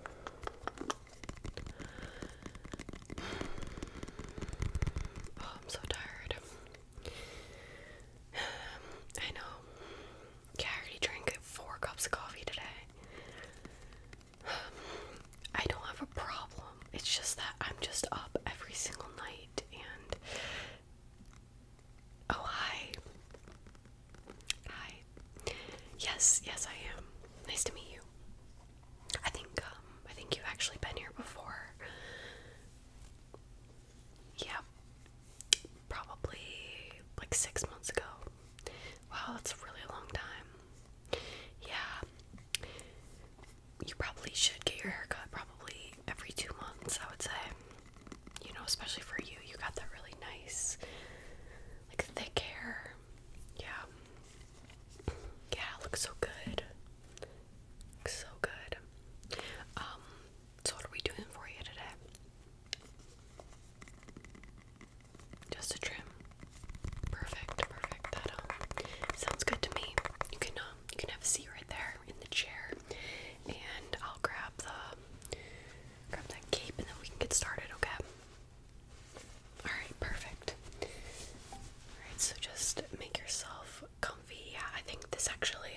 Oh, I'm so tired. I know. I already drank four cups of coffee today. I don't have a problem. It's just that I'm just up every single night and. Oh, hi. Hi. Yes, yes, I am. Nice to meet you. I think um I think you've actually been here before. Yeah. Probably like 6 months ago. Wow, that's a really long time. Yeah. You probably should get your haircut probably every 2 months, I would say. You know, especially for you, you got that really nice like thick hair. Yeah. Yeah, it looks so good. so good. Um, so what are we doing for you today? Just a trim. Perfect, perfect. That um sounds good to me. You can um you can have a seat right there in the chair and I'll grab the grab that cape and then we can get started, okay? Alright, perfect. Alright, so just make yourself comfy. Yeah, I think this actually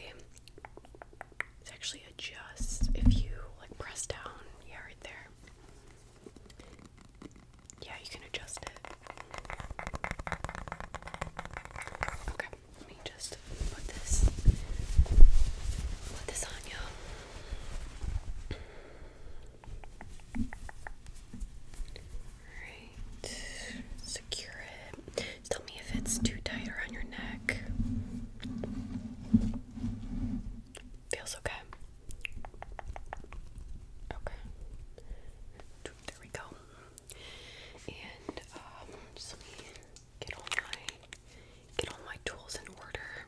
it actually adjusts if you like press down. Yeah, right there. Yeah, you can adjust it. Okay, let me just put this put this on you. Alright, secure it. Tell me if it's too tight around your neck. Feels okay. Okay. There we go. And um, let me get all my get all my tools in order.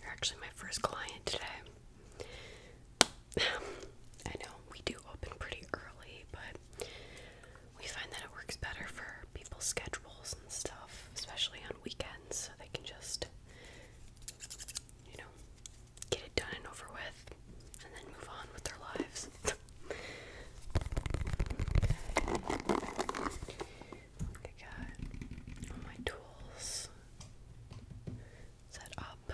You're actually my first client today. I know we do open pretty early, but we find that it works better for people's schedules and stuff, especially on weekends, so they can just, you know, get it done and over with and then move on with their lives. I got all my tools set up.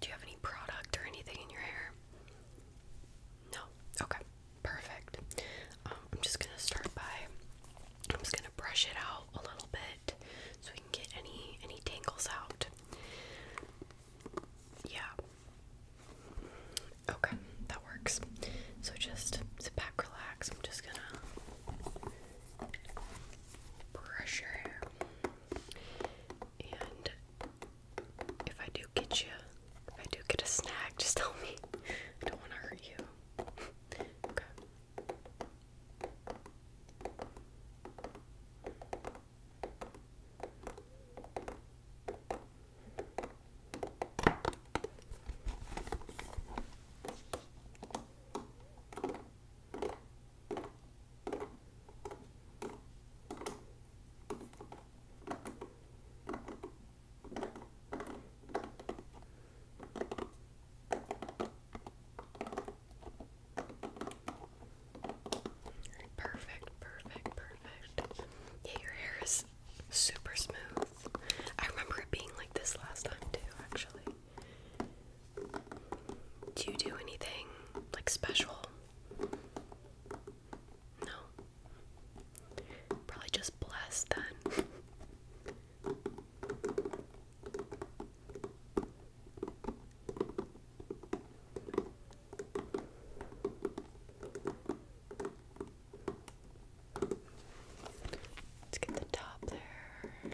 Do you have any product or anything in your hair? No. Okay. Perfect. Um, I'm just gonna start by I'm just gonna brush it out a little bit so we can get any any tangles out. Yeah. Okay, works. So just sit back, relax. I'm just gonna brush your hair. And if I do get you, if I do get a snag, just tell me. I don't want to hurt you. Okay. Perfect, perfect, perfect. Yeah, your hair is super smooth. I remember it being like this last time too, actually. Do you do anything like special? No. Probably just blessed then. Let's get the top there.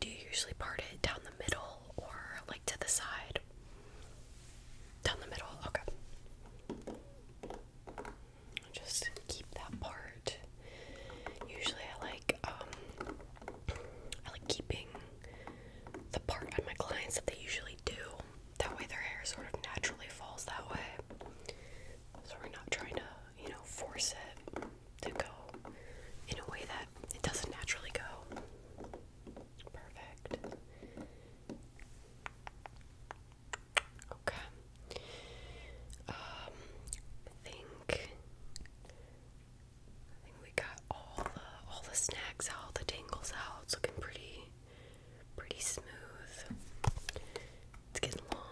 Do you usually part it down the middle or like to the side? Down the middle, okay. just keep that part. Usually I like um I like keeping the part on my clients that they usually do that way their hair sort of naturally falls that way. So we're not trying to, you know, force it to go in a way that it doesn't naturally go. Perfect. Okay. Um, I think I think we got all all the snacks out, the tangles out. It's looking pretty pretty smooth. It's getting long.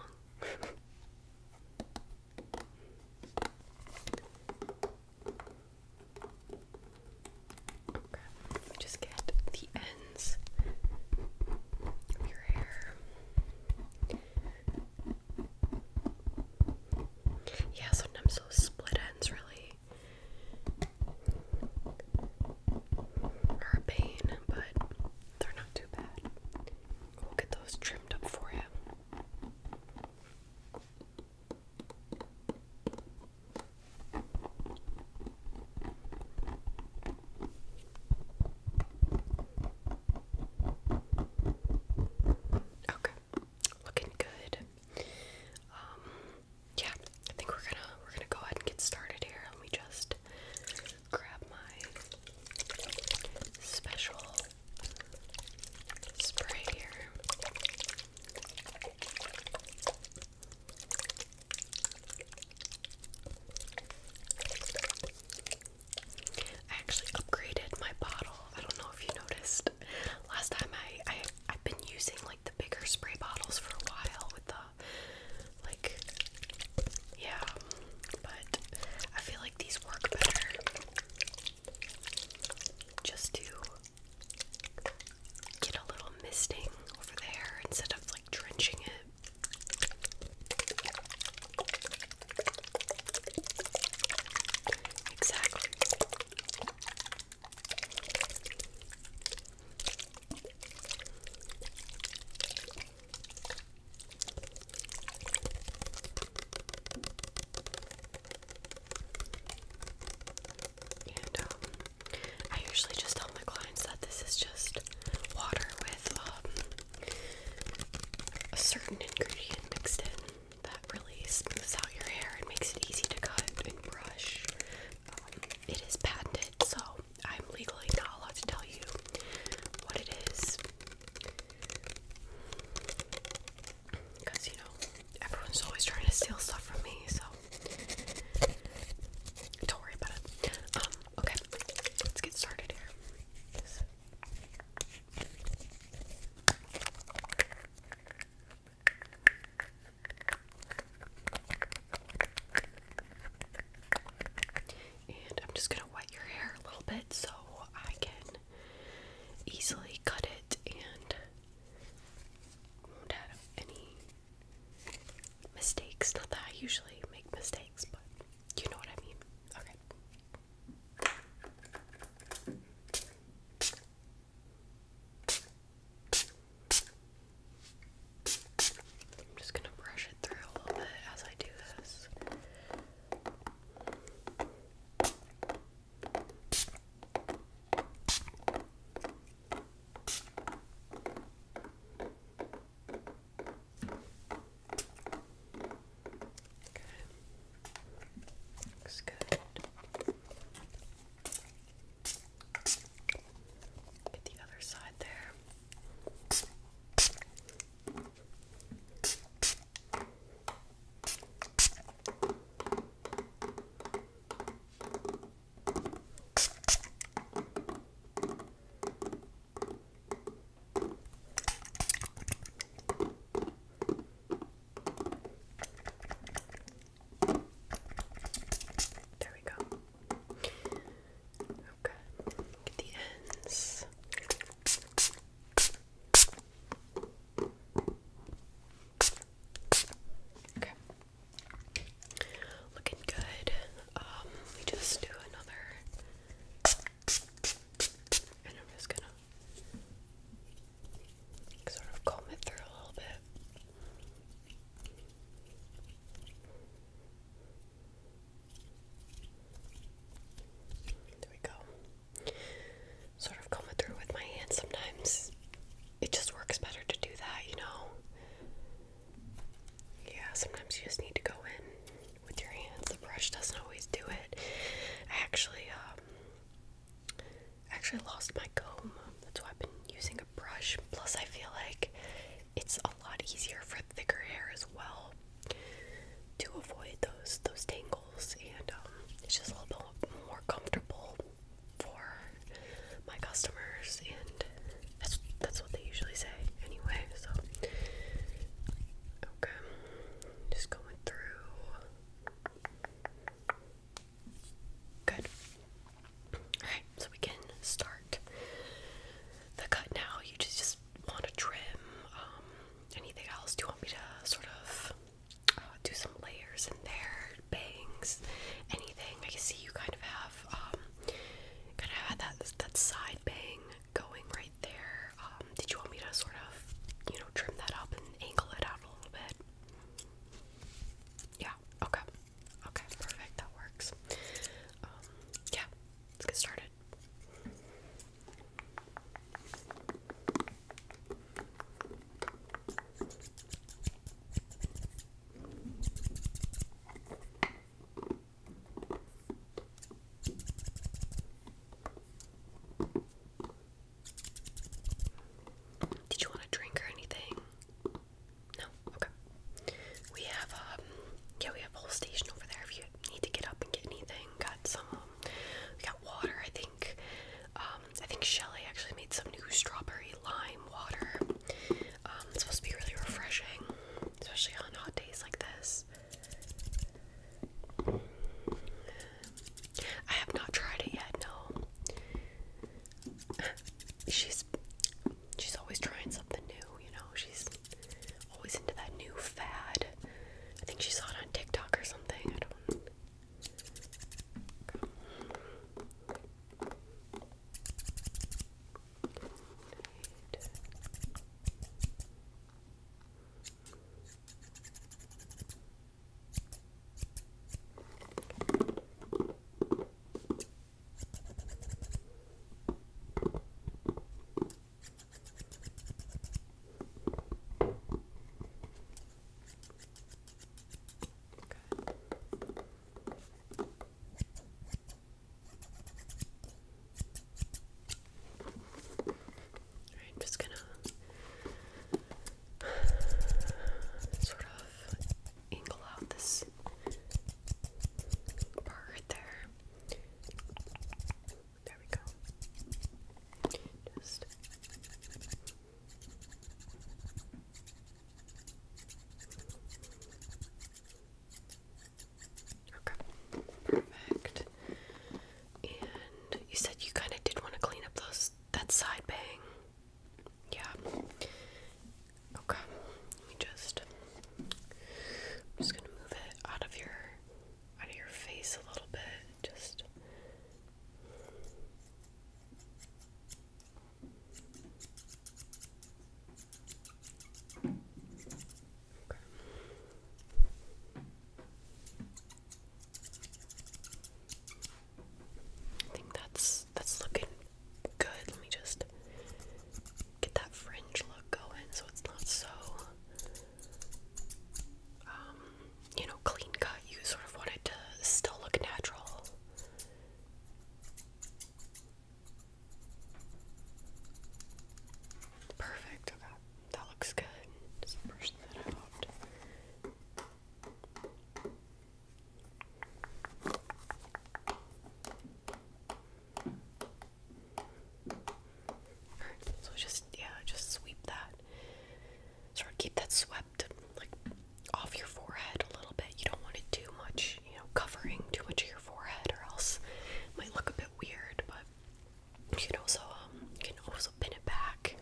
just get the ends of your hair. Yeah, sometimes those split ends really urbane, but they're not too bad. We'll get those trimmed up for you. Okay, looking good. Um, yeah, I think we're gonna we're gonna go ahead and get started here. Let me just grab my special spray here. I actually upgraded my bottle. I don't know if you noticed. Last time I, I I've been using like the bigger spray bottles for a while with the like, yeah, but I feel like these work better just to get a little misting over there instead of like drenching it. Exactly. Um, I usually just tell my clients that this is just water with um, a certain ingredient mixed in that really smooths out your hair and makes it easy to cut and brush. Um, it is patented, so I'm legally not allowed to tell you what it is. Because, you know, everyone's always trying to steal stuff from me, so don't worry about it. Um, okay, let's get started here. And I'm just gonna wet your hair a little bit so I can easily cut it and won't have any mistakes. Not that I usually make mistakes, but you know what I mean. Okay. I'm just gonna brush it through a little bit as I do this. Okay. Looks good. Get the other side there. There we go. Okay, get the ends. Okay. Looking good. Um, we just do another and I'm just gonna sort of comb it through a little bit. There we go. Sort of comb it through with my hands sometimes. It just works better to do that, you know? Yeah, sometimes you just need to go in with your hands. The brush doesn't always do it. actually, um, I actually lost my comb. That's why I've been using a brush. Plus, I feel like it's a lot easier for thicker hair as well to avoid those those tangles, and um, it's just a little bit more comfortable for my customers, and that's that's what they usually say anyway. So, okay, just going through. Good. Alright, so we can start the cut now. You just, just want to trim um, anything else. Do you want me to sort of uh, do some layers in there, bangs, anything? I can see you kind of have um, kind of had that, that side bang going right there. Um, did you want me to sort of, you know, trim that up and angle it out a little bit? Yeah, okay. Okay, perfect. That works. Um, yeah, let's get started. Did you want a drink or anything? No? Okay. We have, um, yeah, we have a whole station over there if you need to get up and get anything. Got some, um, got water, I think. Um, I think Shelly actually made some new strawberry lime water. Um, it's supposed to be really refreshing, especially on hot days like this. I have not tried it yet, no she's she's always trying something new, you know. She's always into that new fad. I think she saw it on TikTok or something. I don't. Alright, I'm just gonna sort of angle out this part there. There we go. Just Okay, perfect. And you said you kind of did want to clean up those that side bang. Yeah. Okay. Let me just I'm just gonna move it out of your out of your face a little bit. Just Okay. I think that's that's looking good. Let me just get that fringe look going so it's not so um, you know, clean cut. You sort of want to still look natural. Perfect. Okay. That looks good. Just brush that out so just yeah, just sweep that. Sort of keep that swept like off your forehead a little bit. You don't want it too much, you know, covering too much of your forehead or else it might look a bit weird, but you know, so um you can also pin it back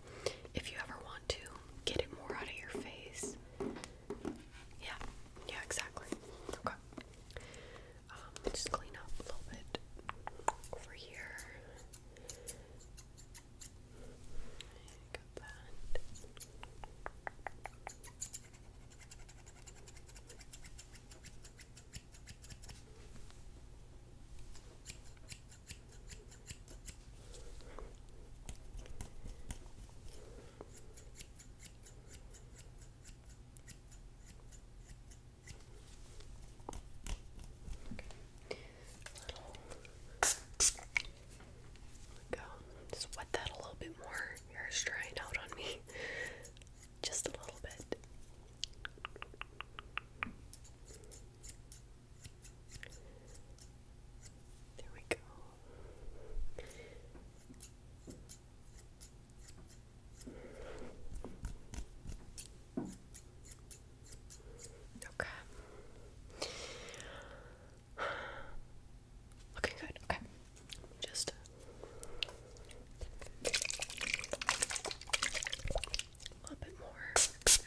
if you ever want to get it more out of your face. Yeah, yeah, exactly. Okay. Um, just clean up a little bit over here. Got that go. Just wet that a little bit more. Your hair's drying out on me. Just a little bit. There we go. Okay. Looking good. Okay. Just uh, a little bit more this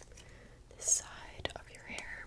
side of your hair.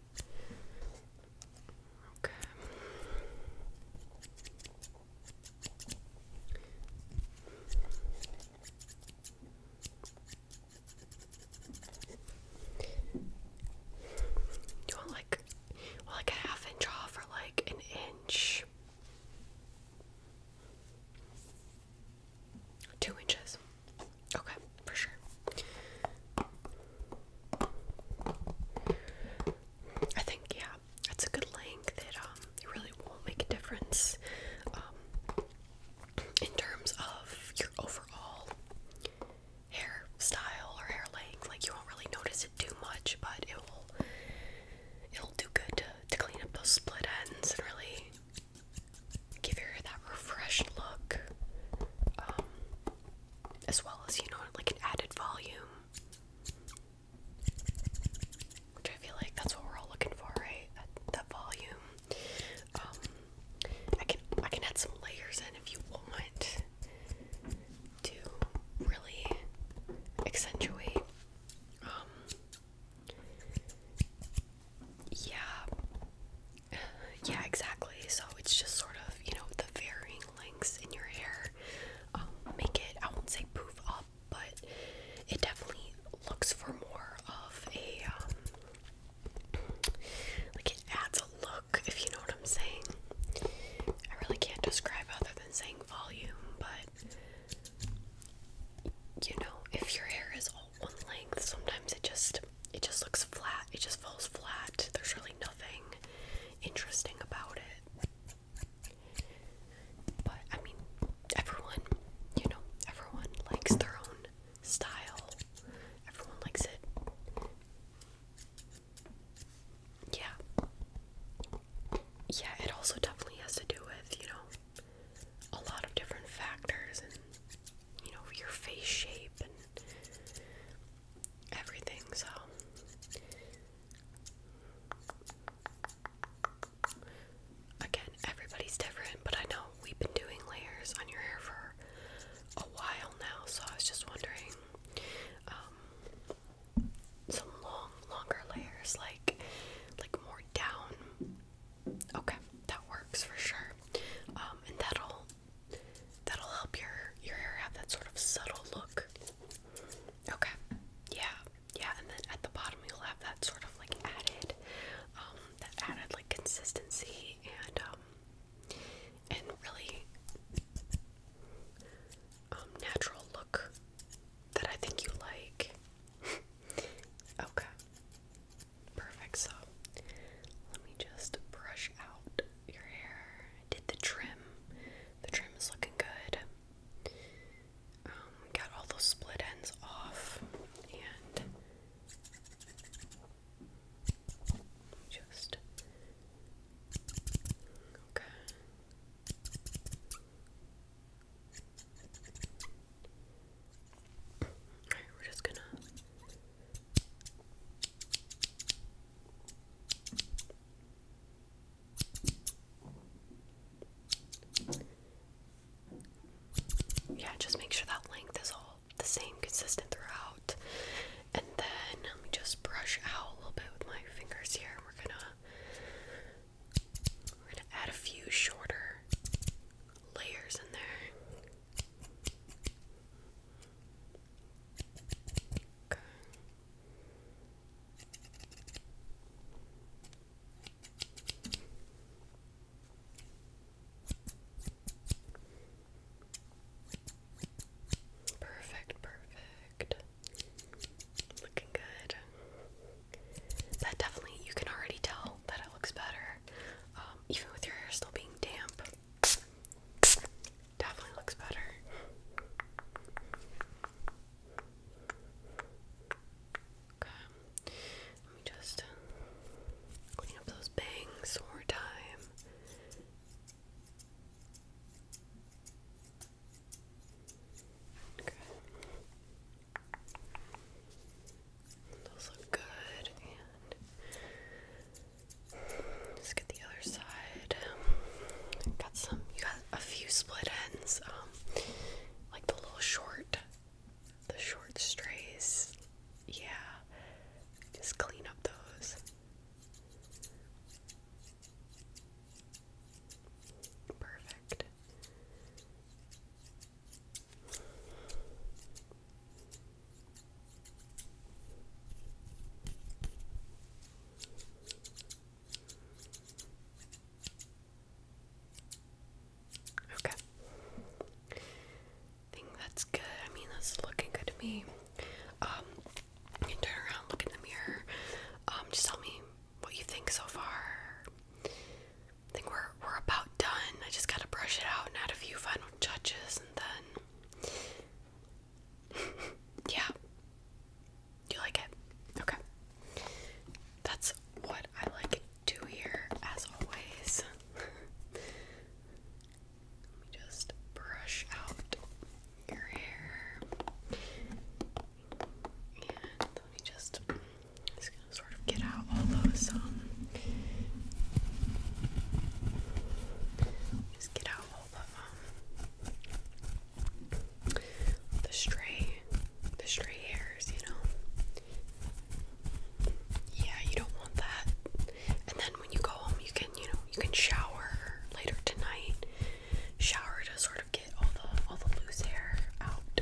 Okay. Do you want like, like a half inch off or like an inch? Two inches. Okay, for sure. I think yeah, that's a good length. It um, it really won't make a difference um, in terms of your overall hair style or hair length. Like you won't really notice it too much, but it will. It'll do good to, to clean up those split ends and really give your hair that refreshed look, um, as well as, you know, like an added volume. Which I feel like that's what we're all looking for, right? That, volume. Um, I can I can add some layers in if you want to really accentuate um, yeah. Yeah, exactly. So it's just sort of, you know, the varying lengths in your hair um, make it, I won't say poof up, but it definitely looks for more of a, um, like it adds a look, if you know what I'm saying. I really can't describe other than saying volume, but you know, if your hair is one length. Sometimes it just it just looks flat. It just falls flat. There's really nothing interesting about it. But I mean, everyone, you know, everyone likes their own style. Everyone likes it. Yeah. Yeah, it also definitely has to do with, you know, a lot of different factors and you know, your face shape and everything. So again, everybody's different, but I know we've been doing layers on your hair for a while now, so I was just wondering um, some long longer layers like like more down Okay, that works for sure. Um, and that'll that'll help your your hair have that sort of subtle look. Okay, yeah, yeah, and then at the bottom you'll have that sort of like added, um, that added like consistency and um, and really um, natural look that I think you like. okay. Perfect, so let me just brush out your hair. I did the trim. The trim is looking good. Um, got all those split ends off and just okay we're just gonna yeah, just make sure that length is all the same, consistent throughout. And then let me just brush out a little bit with my fingers here. We're gonna we're gonna add a few shorter layers in there. Perfect, perfect. Looking good that definitely you can already tell that it looks better, um, even with your hair still being damp. Definitely looks better. Okay, let me just clean up those bangs one more time. Okay. Those look good. And get the other side. Got some. You got a few split ends. Um, like the little short, the short strays. Yeah. Just clean up those. Perfect. Okay. I think that's good. I mean, that's looking good to me. Um, you can turn around, look in the mirror. Um, just tell me what you think so far. I think we're we're about done. I just gotta brush it out and add a few final touches, and then yeah, you like it? Okay, that's what I like to do here, as always. Let me just brush out your hair, and let me just just gonna sort of get out all those um just get out all the um the stray the stray hairs, you know. Yeah, you don't want that. And then when you go home you can, you know, you can shower later tonight. Shower to sort of get all the all the loose hair out.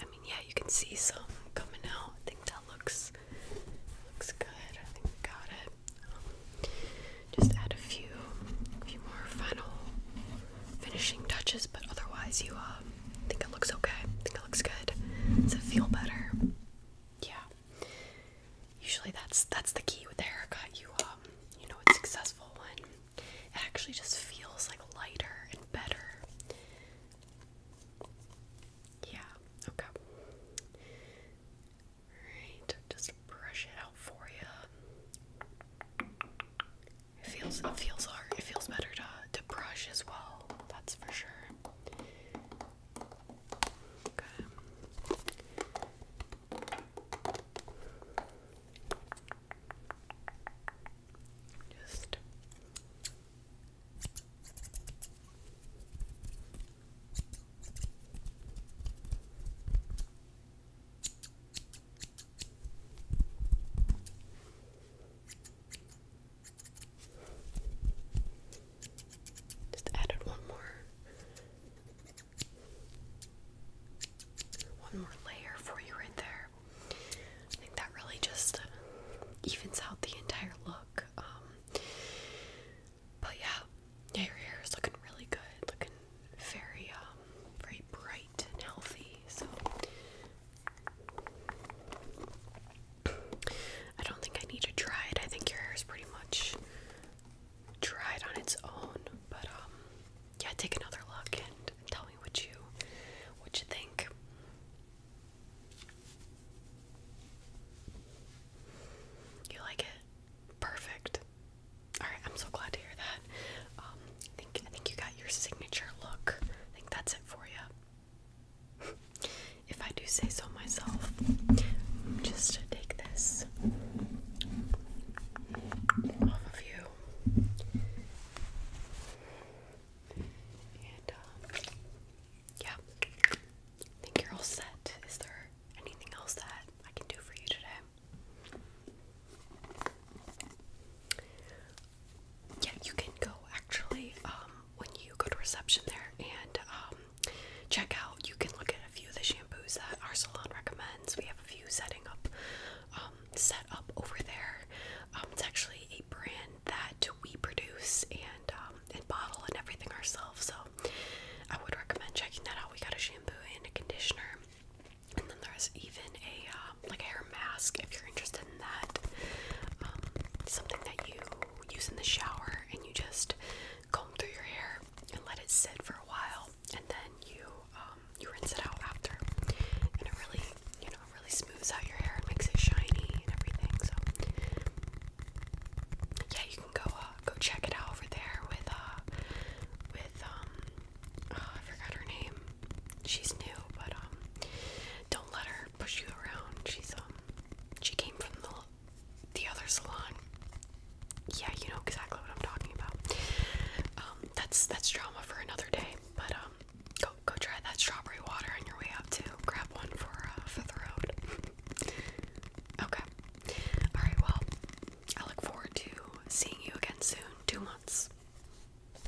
I mean yeah you can see some coming out. I think that looks looks good. I think we got it. Um, just add a few a few more final finishing touches, but otherwise you um think it looks okay. I think it looks good. Does it feel better? Yeah. Usually that's that's the key with the haircut. You um you know it's successful one. it actually just feels like lighter and better yeah, okay. Alright, just brush it out for you. It feels it feels hard. It feels better to to brush as well. That's for sure. Okay. Just just added one more one more layer for you right there. I think that really just evens out the entire look. Um, but yeah, your hair is looking really good, looking very, um, very bright and healthy. So I don't think I need to dry it. I think your hair is pretty much dried on its own. But um, yeah, take another look and tell me what you, what you think. You like it? Perfect. Alright, I'm so glad to hear that. Um, I think I think you got your signature look. I think that's it for you. if I do say so myself, just to take this off of you. And um, yeah, I think you're all set. Is there anything else that I can do for you today? Yeah, you can go actually um, when you go to reception there and um, check out. You can look at a few of the shampoos that our salon recommends. We have a few setting up, set up over there. it's actually a brand that we produce and um, and bottle and everything ourselves. So I would recommend checking that out. We got a shampoo and a conditioner, and then there's even a um, like hair mask if you're interested in that. Um, something that you use in the shower and you just comb through your hair and let it sit for a while, and then you you rinse it out after. And it really, you know, really smooths out your hair and makes it shiny and everything. So yeah, you can go uh, go check it out over there with uh with um oh, I forgot her name. She's new, but um don't let her push you around. She's um she came from the the other salon. Yeah, you know exactly what I'm talking about. Um, that's that's drama for another day. But um, go go try that strawberry water on your way out too. Grab one for uh, for the road. okay. All right. Well, I look forward to seeing you again soon. Two months.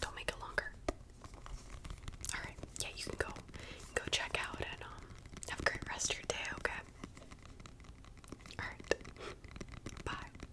Don't make it longer. All right. Yeah, you can go. go check out and um, have a great rest of your day. Okay. All right. Bye.